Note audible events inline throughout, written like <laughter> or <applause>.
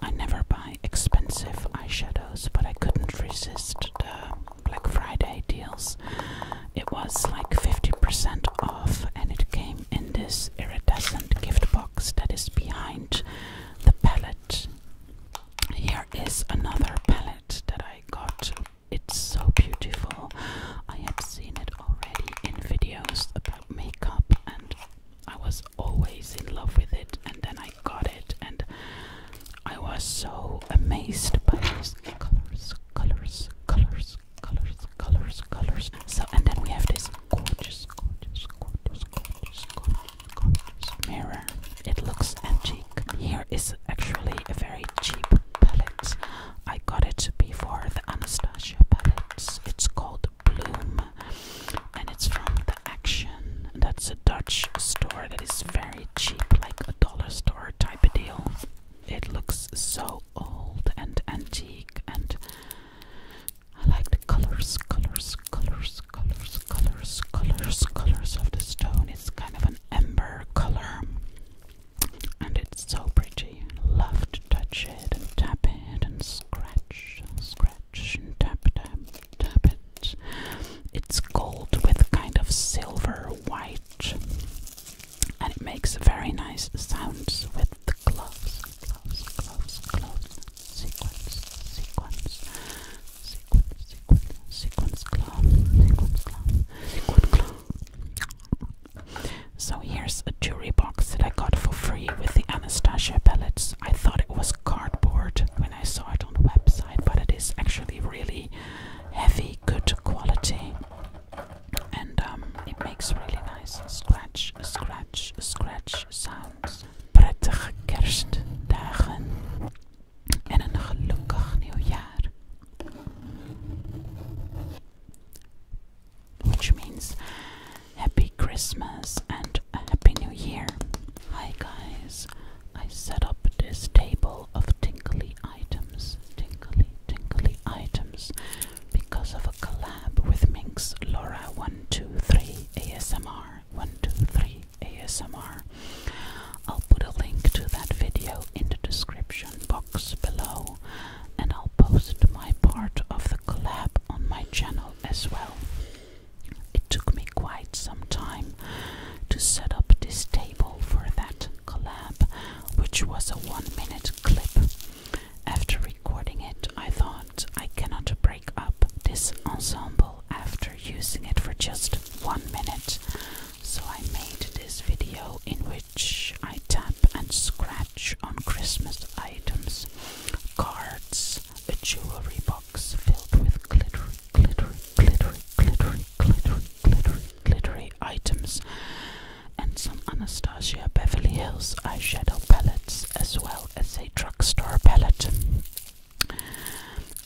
I never buy expensive eyeshadows, but I couldn't resist the Black Friday deals. It was like 50% off, and it came in this iridescent gift box that is behind the palette. Here is another palette that I got. It's so beautiful. I had seen it already in videos about makeup, and I was always in love with it, and then I got it, and I was so amazed by these colors, colors, colors, colors, colors, colors. So, and then we have this gorgeous, gorgeous, gorgeous, gorgeous, gorgeous, gorgeous mirror. It looks antique. Here is actually a very cheap palette. I got it before the Anastasia palette. It's called called Bloom, and it's from the Action. That's a Dutch store that is very cheap, like a dollar store type of deal. It looks so old and antique, and I like the colors, colors, colors, colors, colors, colors, colors of the stone. It's kind of an ember color, and it's so pretty. Love to touch it and tap it and scratch, and scratch scratch and tap tap tap it. It's gold with kind of silver white and it makes very nice sounds with the gloves, gloves, gloves, gloves, sequence, sequence, sequence, sequence, sequence glove, sequence glove, sequence glove. So here's a jewelry box that I got for free with the Anastasia pellets I thought it was cardboard when I saw it on the website, but it is actually really heavy, good quality, and um, it makes really nice scratch, scratch, scratch sounds. Prettige kerstdagen en een gelukkig nieuwjaar which means Happy Christmas and a Happy New Year. Hi guys, I set up this table of tinkly items, tinkly, tinkly items, because of a collab with Minx Laura 123 ASMR 123 ASMR. I'll put a link to that video in the description box below and I'll post my part of the collab on my channel as well. It took me quite some time to set up this table for that collab, which was a one minute clip. After recording it, I thought I cannot break up this ensemble after using it for just one minute, so I made this video in which I tap and scratch on Christmas items cards, a jewelry box filled with glittery, glittery, glittery, glittery, glittery, glittery, glittery items, and some Anastasia Beverly Hills eyeshadow palettes, as well as a drugstore palette.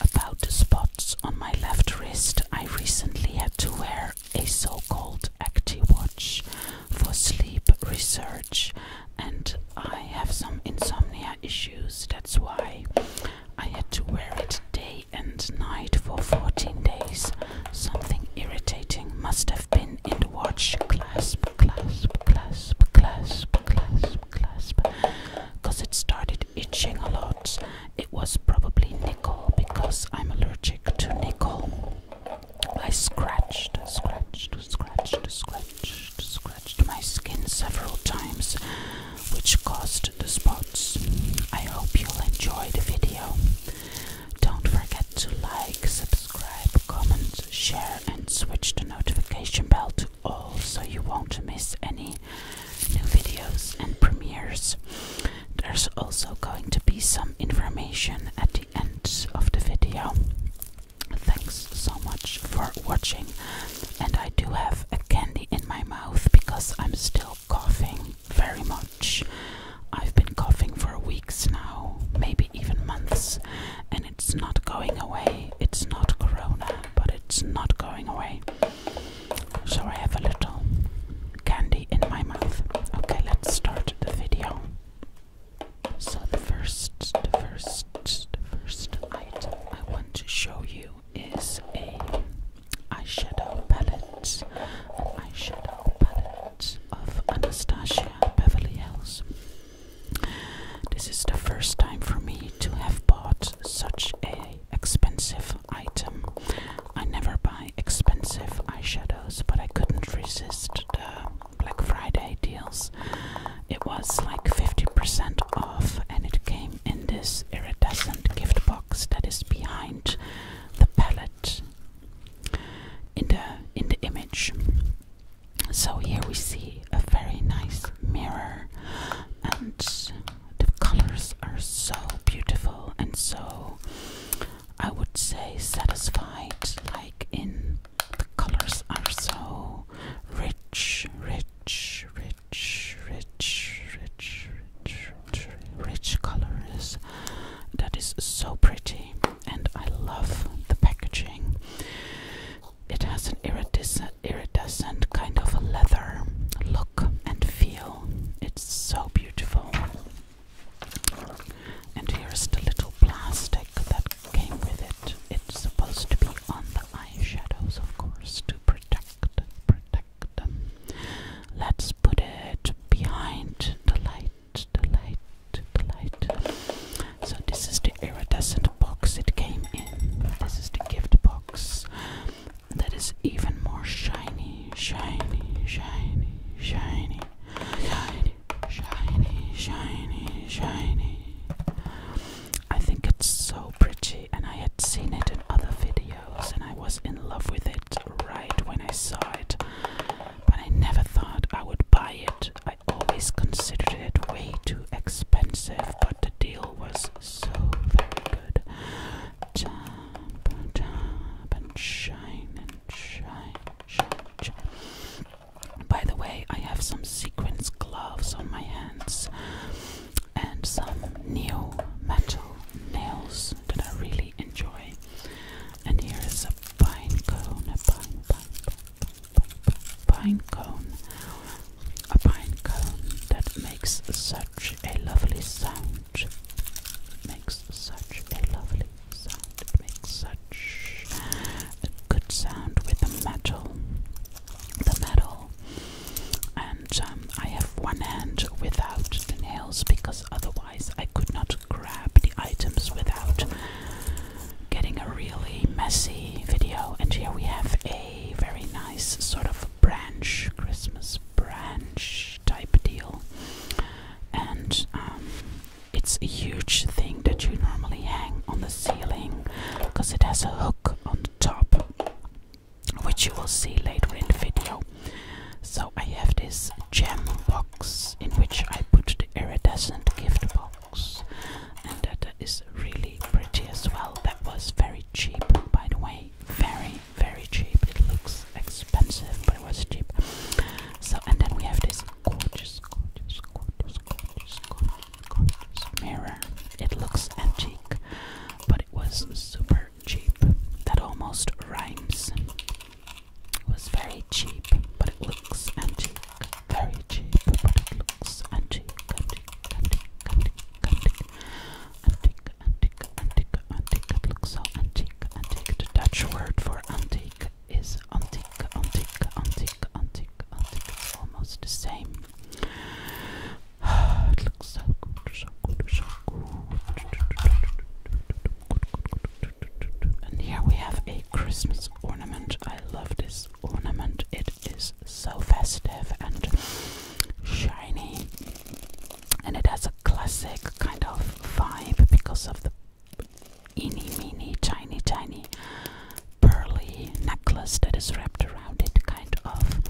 About the spots on my left wrist, I recently had to wear a so called Acti watch for sleep research and I have some insomnia issues. That's why I had to wear it day and night for 14 days. Something irritating must have been in the watch. Clasp, clasp, clasp, clasp, clasp, clasp. Because it started itching a lot. It was probably nickel because I'm allergic to nickel. I scratched, scratched, scratched, scratched, scratched my skin several times, which caused the spots. I hope you'll enjoy the video. Don't forget to like, subscribe, comment, share, and switch the notification bell to all so you won't miss any new videos and premieres. There's also going to be some information at the end of the video. Thanks so much for watching, and I do have a candy in my mouth because I'm still coughing very much. I've been coughing for weeks now, maybe even months, and it's not going away. It's not corona, but it's not going away. So I have a little candy in my mouth. Okay, let's start the video. So the first, the first, the first item I want to show you is a eyeshadow palette, an eyeshadow palette of Anastasia Beverly Hills. This is the first time for me to have bought such a expensive item. I never buy expensive eyeshadows, but I couldn't resist the Black Friday deals. It was like 50% off, and it came in this iridescent gift box that is behind the palette in the in the image. So here we see a very nice mirror, and the colors are so beautiful and so I would say satisfied, like in the colors are so rich, rich, rich, rich, rich, rich, rich, rich colors. That is so pretty, and I love the packaging. It has an iridescent, iridescent kind of a leather look and feel. It's so beautiful. And here's the little plastic that came with it. It's supposed to be on the eyeshadows, of course, to protect, protect them. Let's put it behind the light, the light, the light. So this is the iridescent box it came in. This is the gift box that is even more shiny, shiny, shiny, shiny shiny, shiny, shiny, shiny. I think it's so pretty, and I had seen it in other videos, and I was in love with it right when I saw it. But I never thought I would buy it. I always considered it way too expensive, but the deal was so very good. Tap, tap, and shine, and shine, by the way, I have some sequence gloves on my hands and some new metal nails that I really enjoy. And here is a pine cone, a pine cone, a pine cone that makes such a lovely sound. Makes such a lovely sound. It makes such a good sound with the metal. The metal. And um, I have one hand without the nails because otherwise I could not grab the items without getting a really messy video. And here we have a very nice sort of branch, Christmas branch type deal. And um, it's a huge thing that you normally hang on the ceiling because it has a hook on the top, which you will see later in the video. So I have this gem box in which I put the iridescent gift box, and that is really pretty as well. That was very cheap, by the way. Very, very cheap. It looks expensive, but it was cheap. So, and then we have this gorgeous, gorgeous, gorgeous, gorgeous, gorgeous, gorgeous mirror. It looks antique, but it was super cheap. That almost rhymes. It was very cheap, but it looks antique. Very cheap, but it looks antique, antique, antique, antique, antique. Antique, antique, antique, antique. It looks so antique, antique. The Dutch word for antique antique antique, antique, antique, antique, antique. almost the same. <sighs> And here we have a Christmas ornament. I love this ornament. It is so festive and shiny, and it has a classic kind of vibe because of the eeny, meeny, tiny, tiny pearly necklace that is wrapped around it, kind of.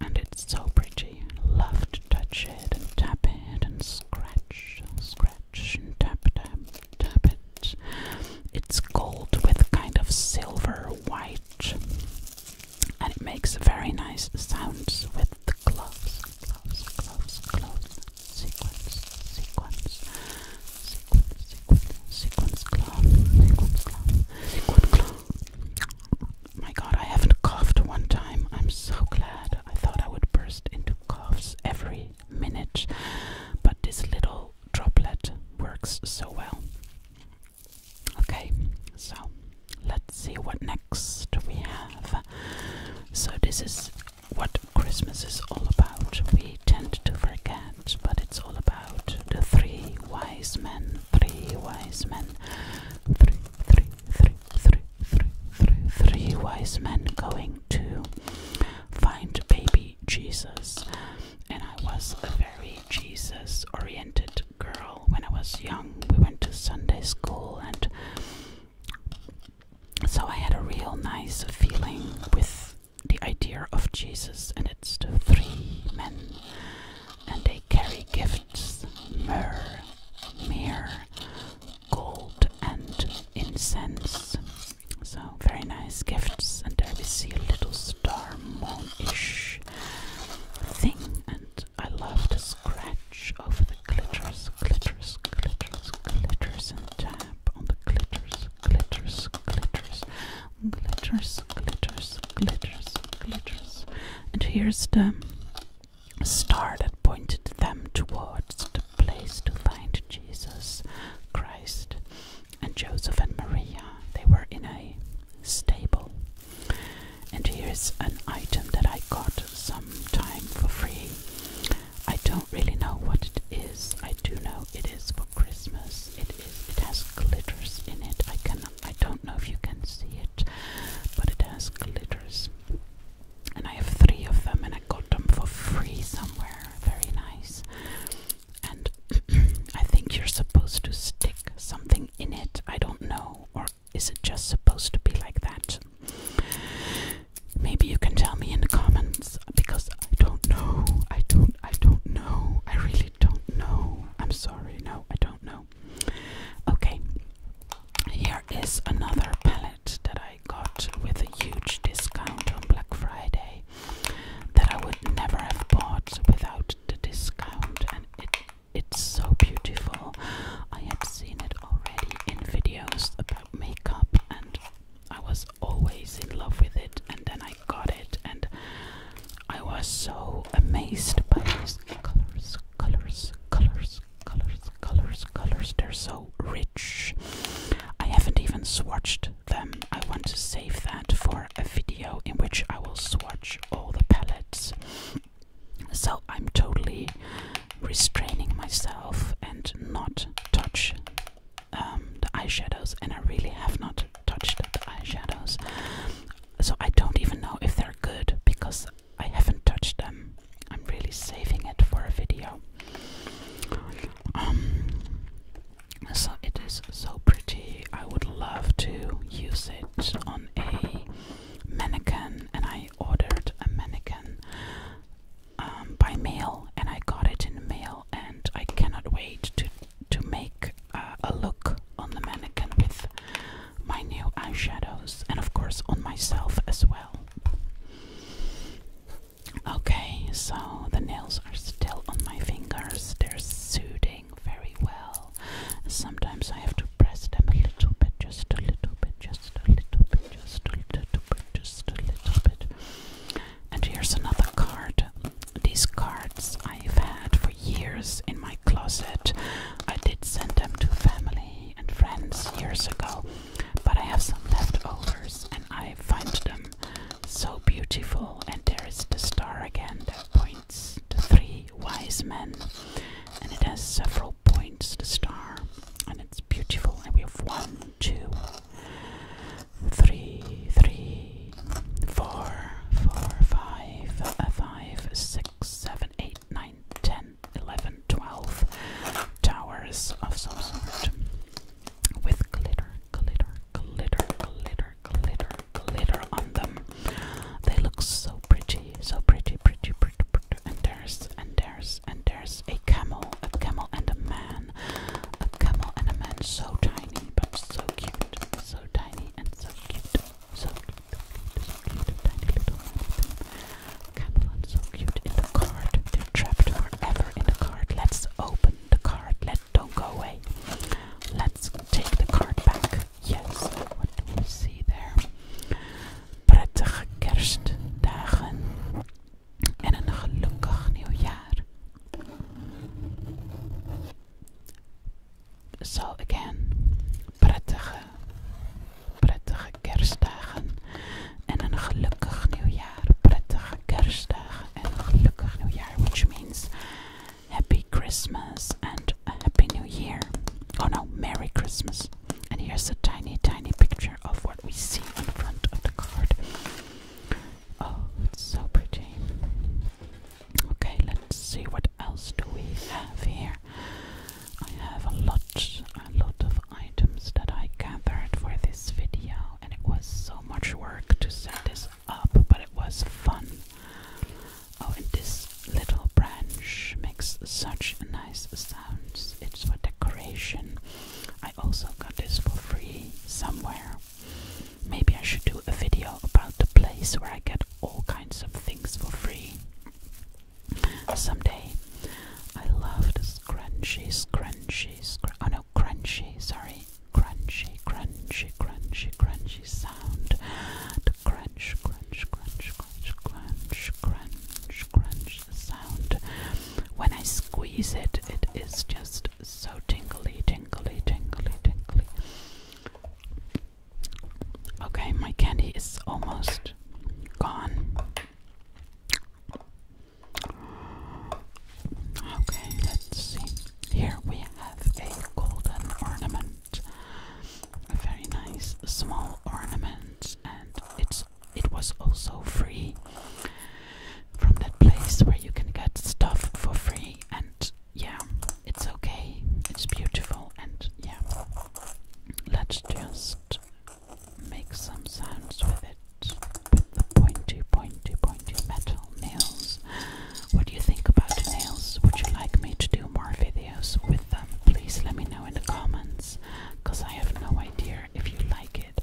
And it's so pretty. Love to touch it and tap it and scratch, scratch and tap, tap, tap it. It's gold with kind of silver white, and it makes very nice sounds with the gloves close, close, close, sequence, sequence, sequence, sequence, sequence, clone, sequence, clone, sequence, clone. My God, I haven't coughed one time. I'm so glad. I thought I would burst into coughs every minute, but this little droplet works so well. Okay, so let let's see what next we have. So, this is what Christmas is all about. We tend to forget, but it's all about the three wise men. Three wise men. Three, three, three, three, three, three, three wise men going to find baby Jesus. And I was a very Jesus oriented girl when I was young. We went to Sunday school and so I had a real nice feeling with the idea of Jesus, and it's the three men, and they carry gifts myrrh, myrrh, gold, and incense. So, very nice gifts, and there we see a little star moon thing, and I love to scratch over the glitters, glitters, glitters, glitters, and tap on the glitters, glitters, glitters, glitters, glitters, glitters, glitters. And here's the star that pointed them towards the place to find Jesus Christ and Joseph and Maria. They were in a stable. And here's an item that I got some time for free. I don't really know what it is. I do know it is for Christmas. It is. It has glitters in it. I cannot. I don't know if you can see it, but it has glitters. And I have three of them, and I got them for free somewhere. Very nice. And <clears throat> I think you're supposed to stick something in it. I don't know, or is it just supposed to be like that? Maybe you can tell me in the comments because I don't know. I don't I don't know. I really don't know. I'm sorry. No, I don't know. Okay. Here is another palette that I got with a huge discount on Black Friday that I would never have bought without the discount and it it's so beautiful. I had seen it already in videos about makeup and I was always in love with it and then I got it and I was so amazed by these colors, colors, colors, colors, colors, colors. They're so rich. I haven't even swatched them. I want to save that for a video in which I will swatch all the palettes. So I'm totally restraining myself and not touch um, the eyeshadows, and I really have not touched the eyeshadows. So I don't even know if they're good because I haven't touched them. I'm really saving it for a video. Um, so it is so pretty. I would love to use it on a mannequin, and I I ordered a mannequin um, by mail, and I got it in the mail, and I cannot wait to to make uh, a look on the mannequin with my new eyeshadows, and of course on myself as well. Okay, so the nails are still on my fingers. They're soothing very well. Sometimes I have to press them a little bit, just a little bit, just a little bit, just a little bit, just a little bit. And here's another card. These cards I've had for years in my closet. I did send them to family and friends years ago, but I have some leftovers and I find them so beautiful. And there is the star again the three wise men, and it has several points to star, and it's beautiful. And we have one, two, three, three, four, four, five, uh, five, six, seven, eight, nine, ten, eleven, twelve towers of some sort with glitter, glitter, glitter, glitter, glitter, glitter on them. They look so pretty so pretty, pretty, pretty, pretty. And there's, and there's, and there's a camel, a camel and a man, a camel and a man. So tiny, but so cute, so tiny and so cute, so cute, so cute, so cute. tiny little man. Camel and so cute in the cart. They're trapped forever in the cart. Let's open the cart. Let don't go away. Let's take the cart back. Yes, what do we see there? Prettige kerstdagen en een gelukkig nieuwjaar. So again, prettige, prettige kerstdagen en een gelukkig nieuwjaar. Prettige kerstdagen en een gelukkig nieuwjaar, which means happy Christmas and happy new year. Oh no, Merry Christmas. And here's a tiny, tiny picture of what we see in front of the card. Oh, it's so pretty. Okay, let's see what else do we have here. I have a lot, a lot of items that I gathered for this video, and it was so much work to set this up, but it was fun. Oh, and this little branch makes such nice sounds. It's for decoration. I also got this for free somewhere. Maybe I should do a video about the place where I get all kinds of things for free someday. I love the scrunchy, scrunchy, scr oh no, crunchy, sorry, crunchy, crunchy, crunchy, crunchy sound crunch, crunch, crunch, crunch, crunch, crunch, crunch sound. When I squeeze it, it is just so tingly, tingly, tingly, tingly. Okay, my candy is almost gone. Okay, let's see. Here we have a golden ornament a very nice small ornament and it's it was also free from that place where you can get stuff for free and yeah it's okay it's beautiful and yeah let's just make some sounds with it with the pointy pointy pointy metal nails what do you think about nails? Would you like me to do more videos with them? Please let me know in the comments because I have no idea if you like it.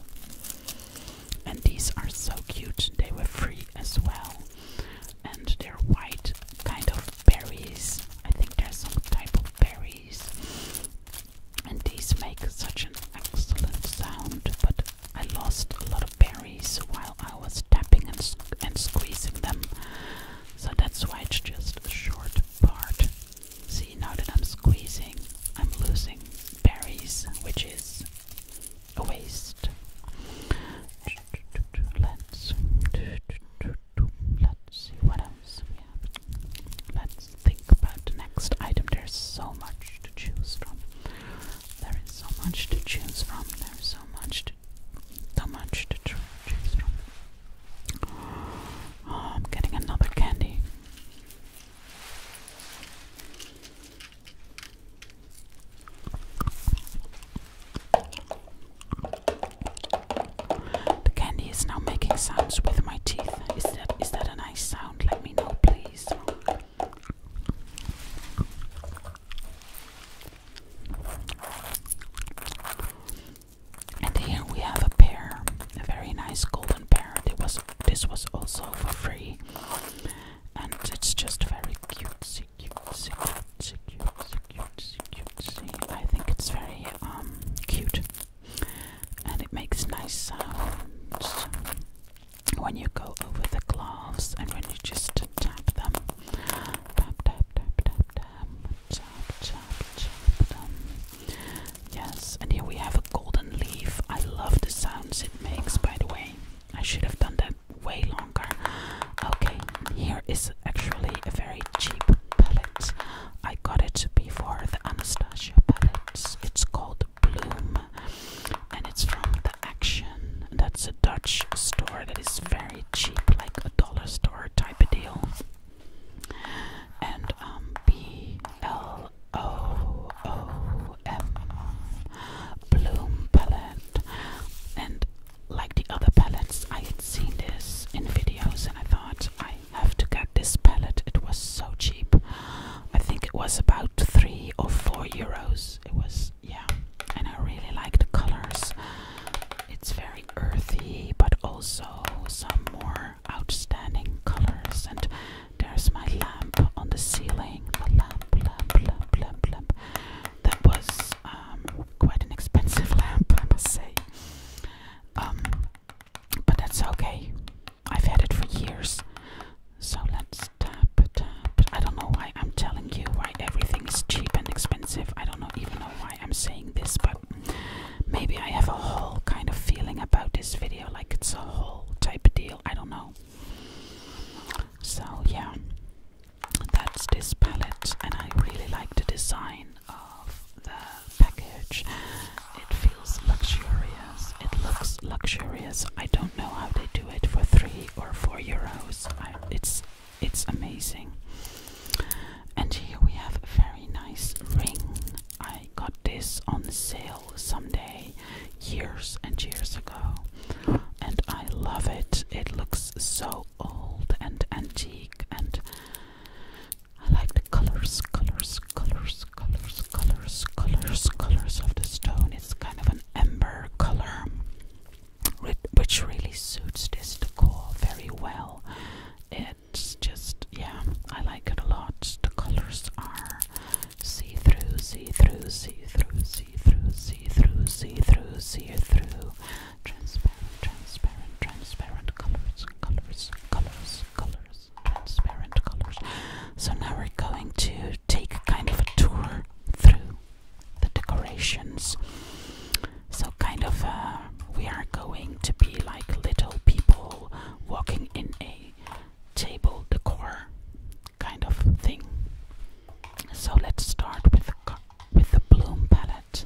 And these are so cute, they were free as well. And they're white, kind of berries. I think there's some type of berries. And these make such an excellent sound, but I lost a lot of berries while I was tapping and, and squeezing them. So that's why it's just a short part. See, now that I'm squeezing, I'm losing berries, which is a waste. Let's, let's see what else we have. Let's think about the next item. There's so much to choose from. There is so much to choose from. There is so much so much to choose from. Oh, I'm getting another candy. The candy is now making sounds with my teeth. Is that is that a nice sound? Let me know, please. And here we have a pear, a very nice golden pear. It was this was also for free, and it's just very cutesy, cutesy, cutesy, cutesy, cutesy, cutesy. I think it's very um cute, and it makes nice sounds when you go over the gloves and when you just tap them. Yes, and here we have a golden leaf. I love the sounds it makes, by the way. I should have done that way longer. Okay, here is actually a very cheap palette. I got it before the Anastasia palette. It's called Bloom and it's from the Action that's a Dutch store that is very cheap, like a dollar store type of deal. And um, B L O O M Bloom palette. And like the other palettes, I had seen this in videos and I thought I have to get this palette. It was so cheap. I think it was about three or four euros. It was yeah, and I really like the colors. It's very earthy, but also some more outstanding colors. And there's my lamp on the ceiling. The lamp, lamp, lamp, lamp, lamp. That was um, quite an expensive <laughs> lamp, I must say. Um, but that's okay. I've had it for years. So let's tap, tap, but I don't know why I'm telling you why everything is cheap and expensive. I don't know even know why I'm saying this, but maybe I have a whole kind of feeling about this video, like it's a whole type of deal. I don't know. So yeah, that's this palette, and I really like the design of the package. It feels luxurious. It looks luxurious. I don't know how they do it for three or four euros. it's it's amazing. And here we have a very nice ring. I got this on sale someday years and years ago, and I love it. It looks so old and antique, and I like the colors, colors, colors, colors, colors, colors, colors of the stone. It's kind of an amber color which really suits this decor very well. It's just, yeah, I like it a lot. The colors are see through, see through, see through, see through, see through, see through, see through, transparent, transparent, transparent colors, colors, colors, colors, transparent colors. So now we're going to take kind of a tour through the decorations. So, kind of, uh, we are going to be like little people walking in a table decor kind of thing. So, let's start with the, with the bloom palette.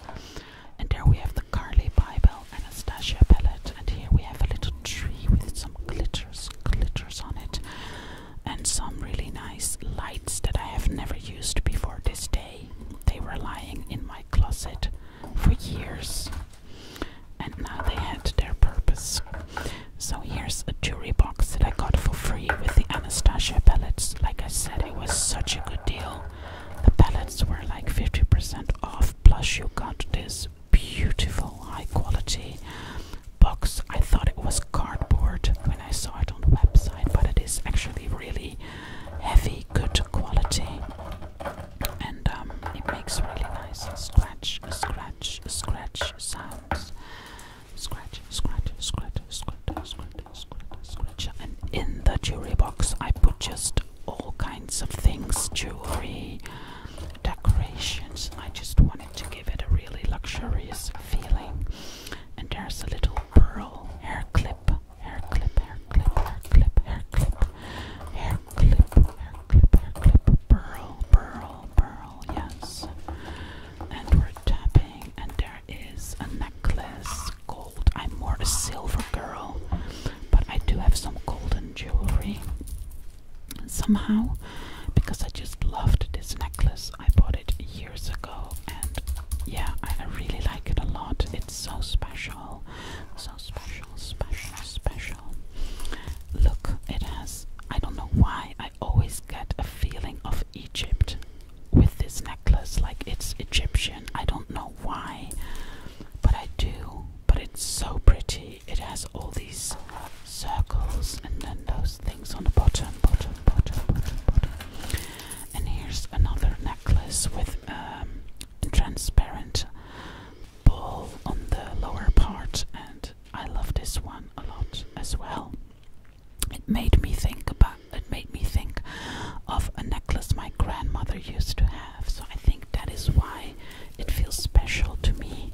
And there we have the Carly Bible Anastasia palette. And here we have a little tree with some glitters, glitters on it and some really nice lights that I have never used before this day. They were lying in my closet for years and now they had their purpose. So here's a jewelry box that I got for free with the Anastasia pellets. Like I said, it was such a good deal. The pellets were like 50% off, plus you got this beautiful high quality box. I thought it was cardboard when I saw it on the website, but it is actually really heavy, good quality, and um, it makes really nice scratch, scratch, scratch sounds. Scratch, scratch, scratch, scratch, scratch, scratch, scratch. And in the jewelry box, I put just all kinds of things jewelry, decorations. I just wanted to get it a really luxurious feeling. And there's a little pearl hair clip, hair clip, hair clip, hair clip, hair clip, hair clip, hair clip, hair clip, pearl, pearl, pearl, yes. And we're tapping, and there is a necklace, gold. I'm more a silver girl, but I do have some golden jewelry somehow because I just loved this necklace I bought it years ago and yeah, I, I really like it a lot. It's so special. So special, special, special. Look, it has. I don't know why I always get a feeling of Egypt with this necklace, like it's Egyptian. I don't know why, but I do. But it's so pretty. It has all these circles and then those things on the bottom, bottom, bottom, bottom, bottom. And here's another necklace with um, transparent ball on the lower part, and I love this one a lot as well. It made me think about. It made me think of a necklace my grandmother used to have, so I think that is why it feels special to me.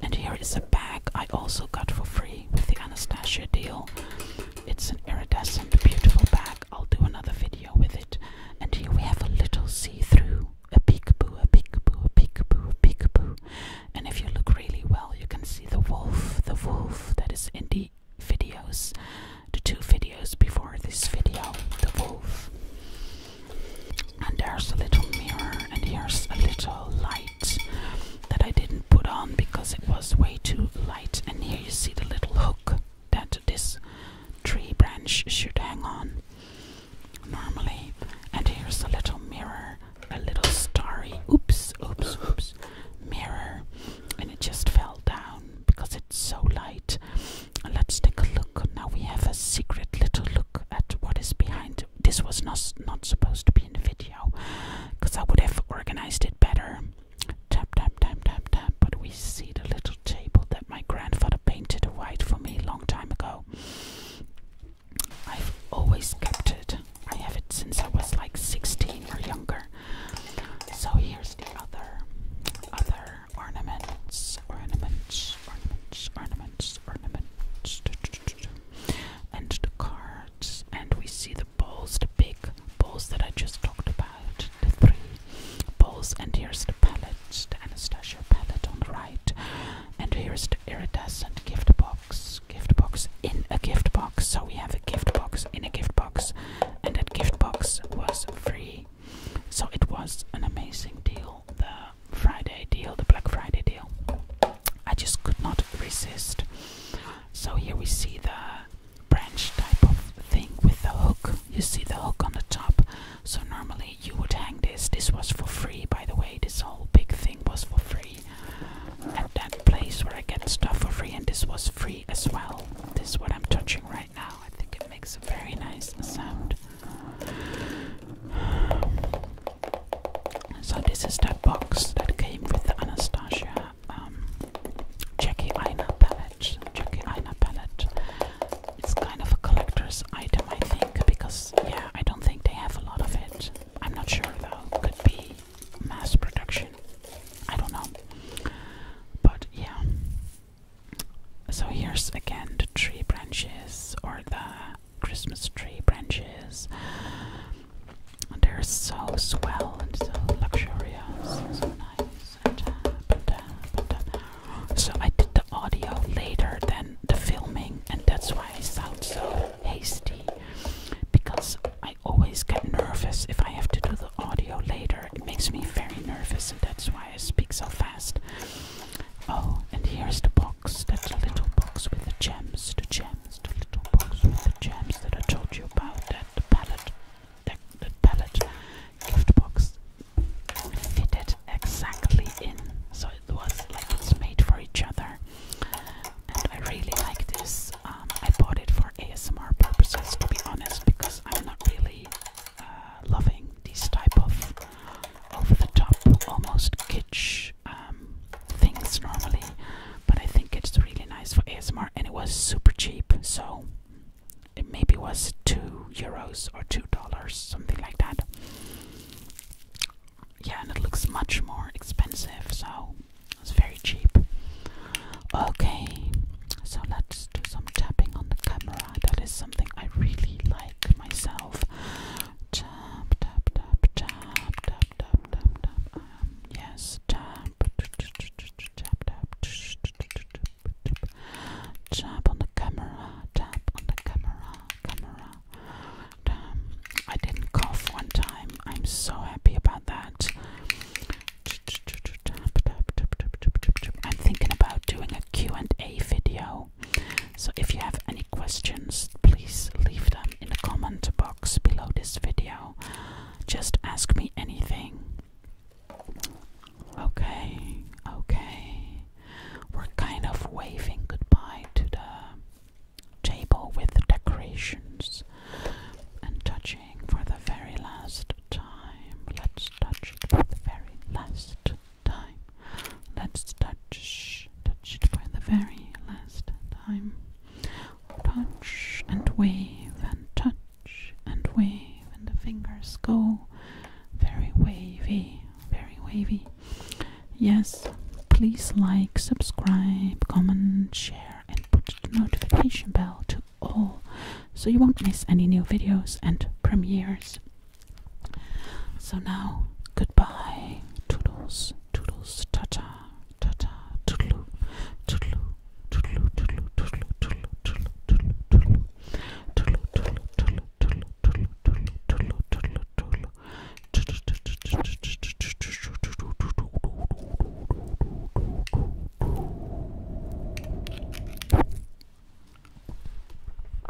And here is a bag I also got for free with the Anastasia deal. It's an iridescent, beautiful bag. I'll do another video with it. And here we have a little see-through, a peekaboo, a peekaboo, a peekaboo, a peekaboo. And if you look really well, you can see the wolf, the wolf that is in the videos, the two videos before this video, the wolf. And there's a little mirror, and here's a little light that I didn't put on because it was way too light. And here you see the little hook that this tree branch should hang on normally. And here's a little mirror, a little starry, oops, oops, oops, mirror. And it just fell down because it's so light. Let's take a look. Now we have a secret little look at what is behind this was not not supposed to be in the video because I would have organized it better. Tap tap tap tap tap. But we see the little table that my grandfather painted white for me a long time ago. I've always kept it. I have it since I was like 16 or younger. So here's the other other ornaments, ornaments, ornaments, ornaments, ornaments and the cards, and we see the balls, the big balls that I just talked about, the three balls, and here's the palette, the Anastasia palette on the right, and here's the iridescent gift box, gift box in a gift box. So we have a gift box in a gift box, and that gift box was free. So it was an amazing deal. there. Friday deal, the Black Friday deal. I just could not resist. So here we see the branch type of thing with the hook. You see the hook on the top. So normally you would hang this. This was for free, by the way. This whole big thing was for free at that place where I get stuff for free, and this was free as well. This is what I'm touching right now. I think it makes a very nice sound. So this is that box that came with the Anastasia um, Jackie Aina palette. Jackie Aina palette. It's kind of a collector's item, I think, because yeah, I don't think they have a lot of it. I'm not sure though. Could be mass production. I don't know. But yeah. So here's again the tree branches or the Christmas tree branches. And they're so swell and so luxurious, and so nice. And, so I did the audio later than the filming, and that's why I sound so hasty. Because I always get nervous if I have to do the audio later. It makes me very nervous, and that's why I speak so fast. Oh, and here's the box, that little box with the gems, the gems, the little box with the gems that I told you about, that the palette, that, palette gift box fitted exactly in, so it was like it's made for each other. And I really like this. Um, I bought it for ASMR purposes, to be honest, because I'm not really uh, loving these type of over-the-top, almost kitsch um, things normally, but I think it's really nice for ASMR, and it was super cheap, so it maybe was two euros or two dollars, something like that. Yeah, and it looks much more expensive, so it's very cheap. Okay, so let's do some tapping on the camera. That is something I really like myself. Tap, tap, tap, tap, tap, tap, tap, tap. yes, tap. Tap, on the camera. Tap on the camera. Camera. Um, I didn't cough one time. I'm so happy about that. I'm thinking about doing a Q&A video so if you have any questions, please leave them in the comment box below this video. Just ask me anything. Okay, okay. We're kind of waving goodbye to the table with the decorations and touching for the very last time. Let's touch it for the very last time. Let's touch, touch it by the very last time. Touch and wave and touch and wave, and the fingers go very wavy, very wavy. Yes, please like, subscribe, comment, share, and put the notification bell to all so you won't miss any new videos and premieres. So now, goodbye. Toodles, toodles, ta ta, ta ta, toodaloo, toodaloo, toodaloo, toodaloo, toodaloo, toodaloo, toodaloo, toodaloo, toodaloo, toodaloo, toodaloo, toodaloo, toodaloo, toodaloo, toodaloo, toodaloo, toodaloo.